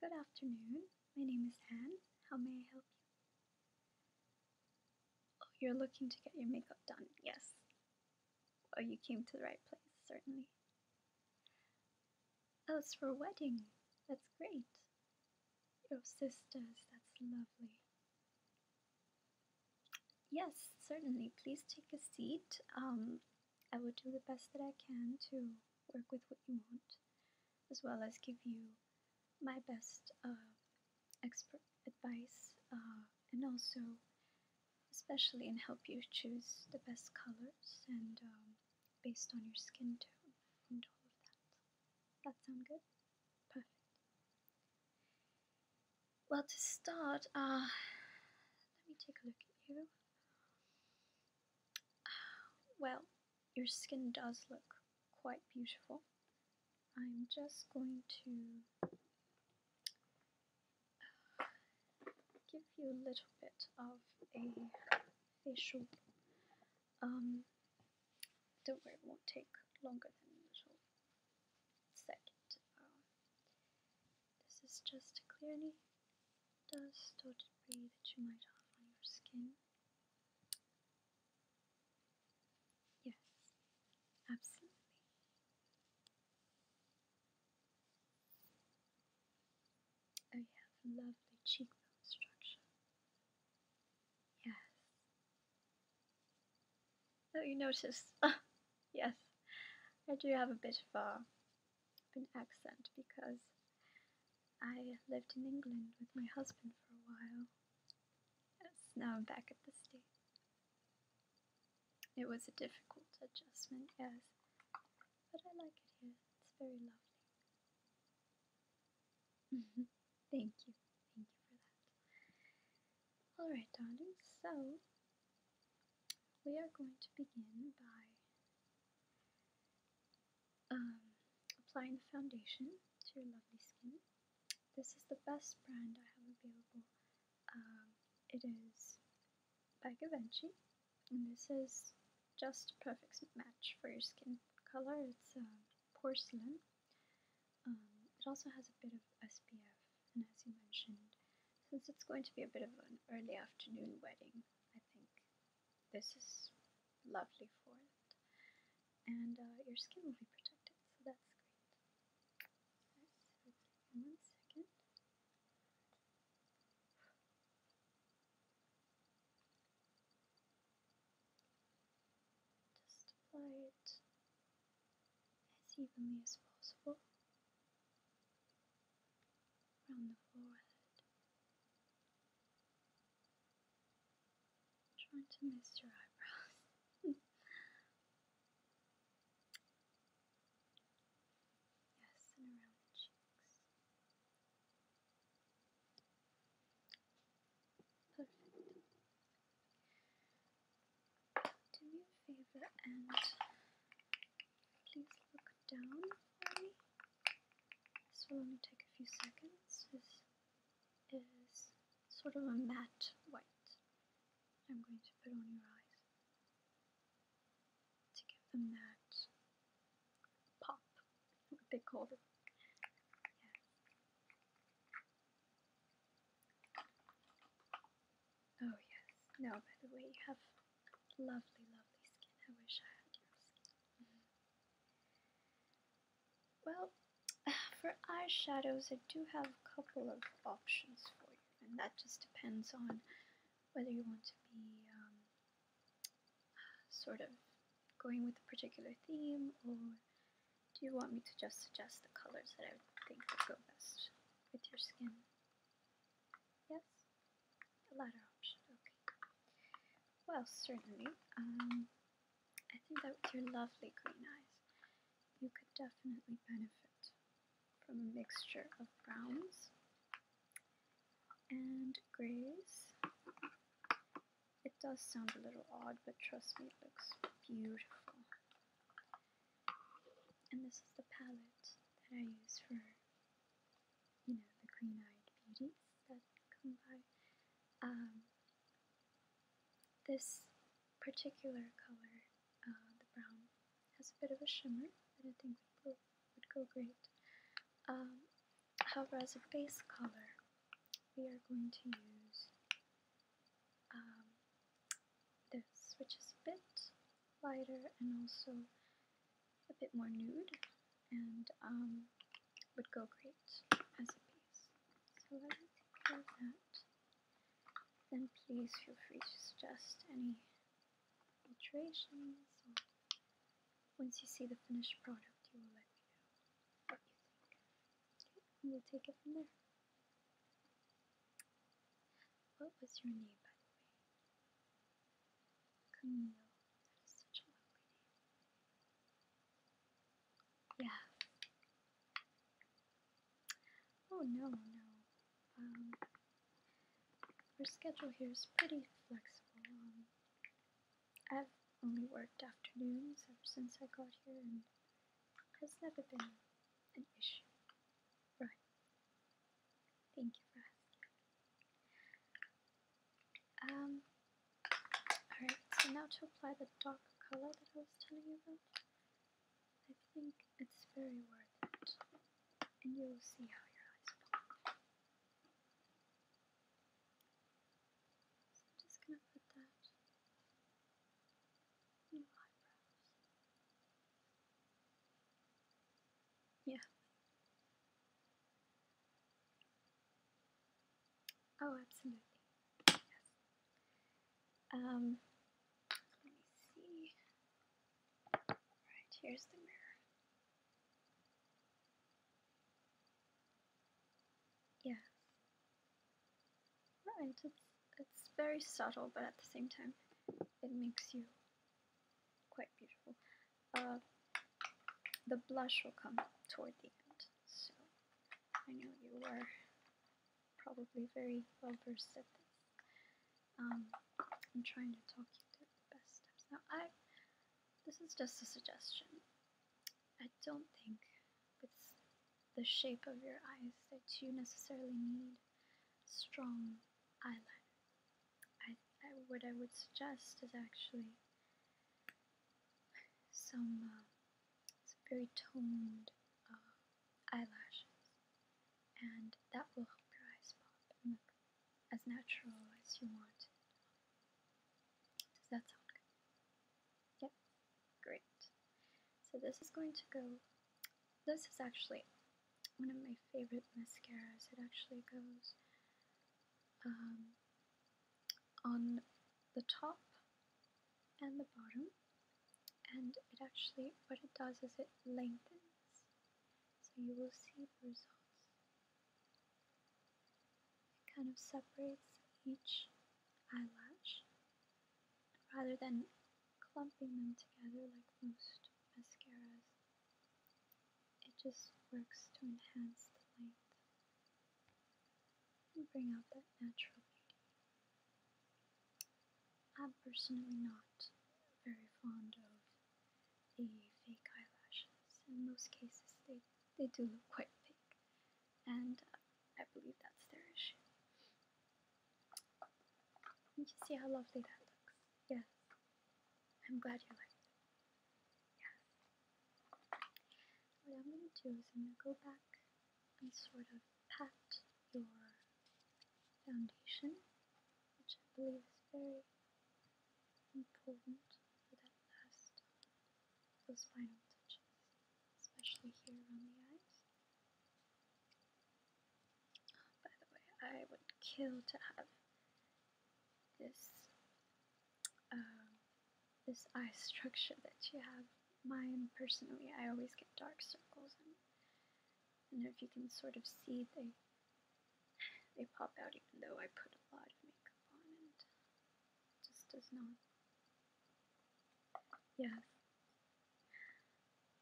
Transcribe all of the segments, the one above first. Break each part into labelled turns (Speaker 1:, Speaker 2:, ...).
Speaker 1: Good afternoon. My name is Anne. How may I help you? Oh, you're looking to get your makeup done. Yes. Oh, you came to the right place, certainly. Oh, it's for a wedding. That's great. Your sisters, that's lovely. Yes, certainly. Please take a seat. Um, I will do the best that I can to work with what you want, as well as give you my best uh, expert advice uh, and also especially and help you choose the best colors and um, based on your skin tone and all of that. That sound good? Perfect. Well, to start, uh, let me take a look at you. Well, your skin does look quite beautiful. I'm just going to uh, give you a little bit of a facial. Um, don't worry, it won't take longer than a little second. This is just to any dust or debris that you might have on your skin. Yes, absolutely. Oh, you have lovely cheekbone structure. Yes. Oh, you notice? yes, I do have a bit of a an accent because I lived in England with my husband for a while. Yes, now I'm back at the States. It was a difficult adjustment, yes, but I like it here. It's very lovely. Mm-hmm. Thank you. Thank you for that. Alright, darling, so we are going to begin by um, applying the foundation to your lovely skin. This is the best brand I have available. Um, it is by Givenchy, and this is just a perfect match for your skin color. It's uh, porcelain. Um, it also has a bit of SPF and as you mentioned, since it's going to be a bit of an early afternoon wedding, I think this is lovely for it. And uh, your skin will be protected, so that's great. one second. Just apply it as evenly as possible around the forehead. trying to miss your eyebrows. yes, and around the cheeks. Perfect do me a favor and please look down for me. This will only take a few seconds. This is sort of a matte white I'm going to put on your eyes to give them that pop, what they call Yeah. Oh, yes. Now, by the way, you have lovely, lovely skin. I wish I had your skin. Mm-hmm. Well, for eyeshadows, I do have a couple of options for you, and that just depends on whether you want to be um, sort of going with a particular theme, or do you want me to just suggest the colors that I think would go best with your skin? Yes? The latter option, okay. Well, certainly. Um, I think that with your lovely green eyes, you could definitely benefit from a mixture of browns and grays. It does sound a little odd, but trust me, it looks beautiful. And this is the palette that I use for, you know, the green eyed beauties that come by. Um, this particular color, uh, the brown, has a bit of a shimmer that I think would, go great. Um, however, as a base color, we are going to use um, this, which is a bit lighter and also a bit more nude, and um, would go great as a piece. So let me do that. Then please feel free to suggest any alterations. once you see the finished product, you will let me know what you think. we'll take it from there. What was your name, by the way? Camille. That is such a lovely name. Yeah. Oh no, no. Um, our schedule here is pretty flexible. Um, I've only worked afternoons ever since I got here, and has never been Right. Thank you for asking. Um, alright, so now to apply the dark color that I was telling you about, I think it's very worth it. And you'll see how your eyes pop. So I'm just gonna put that yeah. Oh, absolutely. Yes. Um, let me see. Alright, here's the mirror. Yes. Right, it's, it's very subtle, but at the same time, it makes you quite beautiful. Uh, the blush will come toward the end, so I know you are probably very well versed at this. Um, I'm trying to talk you to the best steps. Now, I this is just a suggestion. I don't think it's the shape of your eyes that you necessarily need strong eyeliner. I, what I would suggest is actually some, uh, very toned uh, eyelashes, and that will help your eyes pop and look as natural as you want. Does that sound good? Yep, great. So this is going to go, this is actually one of my favorite mascaras. It actually goes um, on the top and the bottom and it actually, what it does is it lengthens. So you will see results it kind of separates each eyelash rather than clumping them together like most mascaras. It just works to enhance the length and bring out that natural beauty. I'm personally not very fond of the fake eyelashes. In most cases, they, they do look quite fake and I believe that's their issue. You see how lovely that looks. Yes, I'm glad you like it. What I'm gonna do is I'm gonna go back and sort of pat your foundation, which I believe is very important for that last those final touches, especially here around the eyes. by the way, I would kill to have this um, this eye structure that you have. Mine personally, I always get dark circles, and, if you can sort of see, they they pop out even though I put a lot of makeup on, it just does not yeah.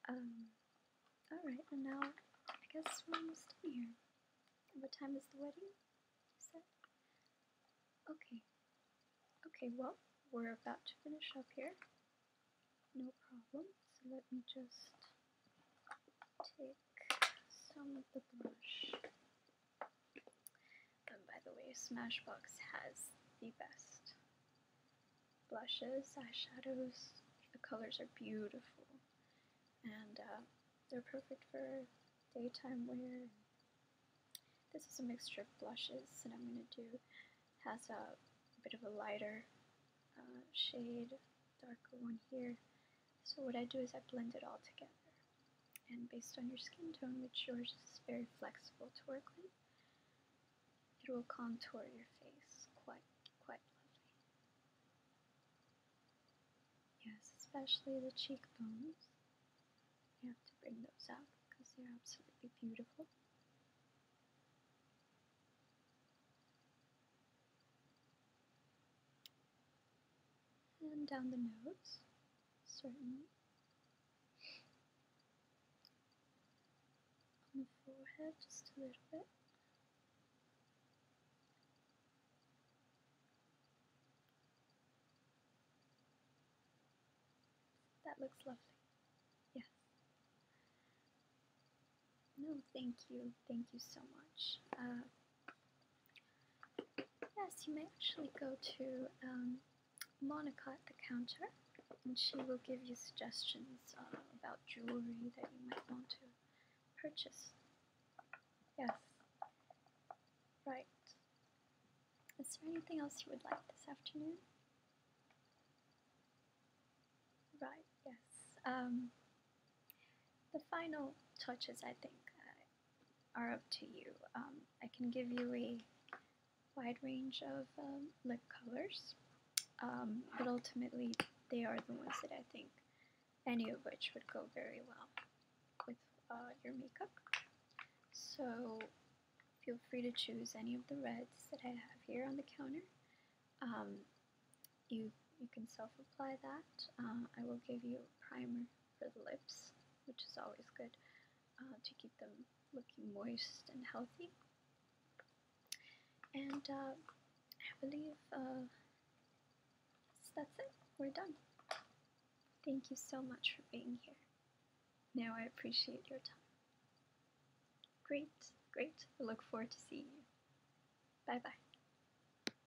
Speaker 1: Um, alright, and now I guess we're almost done here. What time is the wedding? Okay. Okay, well, we're about to finish up here. No problem. So let me just take some of the brush by the way, Smashbox has the best blushes, eyeshadows. The colors are beautiful, and uh, they're perfect for daytime wear. This is a mixture of blushes that I'm going to do. Has a bit of a lighter uh, shade, darker one here. So what I do is I blend it all together. And based on your skin tone, which yours is very flexible to work with, it will contour your face quite, quite lovely. Yes, especially the cheekbones. You have to bring those out because they're absolutely beautiful. And down the nose, certainly. On the forehead, just a little bit. That looks lovely. Yes. No, thank you. Thank you so much. Uh, Yes, you may actually go to um, Monica at the counter, and she will give you suggestions um, about jewelry that you might want to purchase. Yes. Right. Is there anything else you would like this afternoon? Right, yes. Um, the final touches, I think, are up to you. Um, I can give you a wide range of um, lip colors, um, but ultimately they are the ones that I think any of which would go very well with uh, your makeup. So feel free to choose any of the reds that I have here on the counter. you, you can self-apply that. Uh, I will give you a primer for the lips, which is always good uh, to keep them looking moist and healthy. And uh, I believe uh, that's it. We're done. Thank you so much for being here. Now I appreciate your time. Great, great. I look forward to seeing you. Bye bye.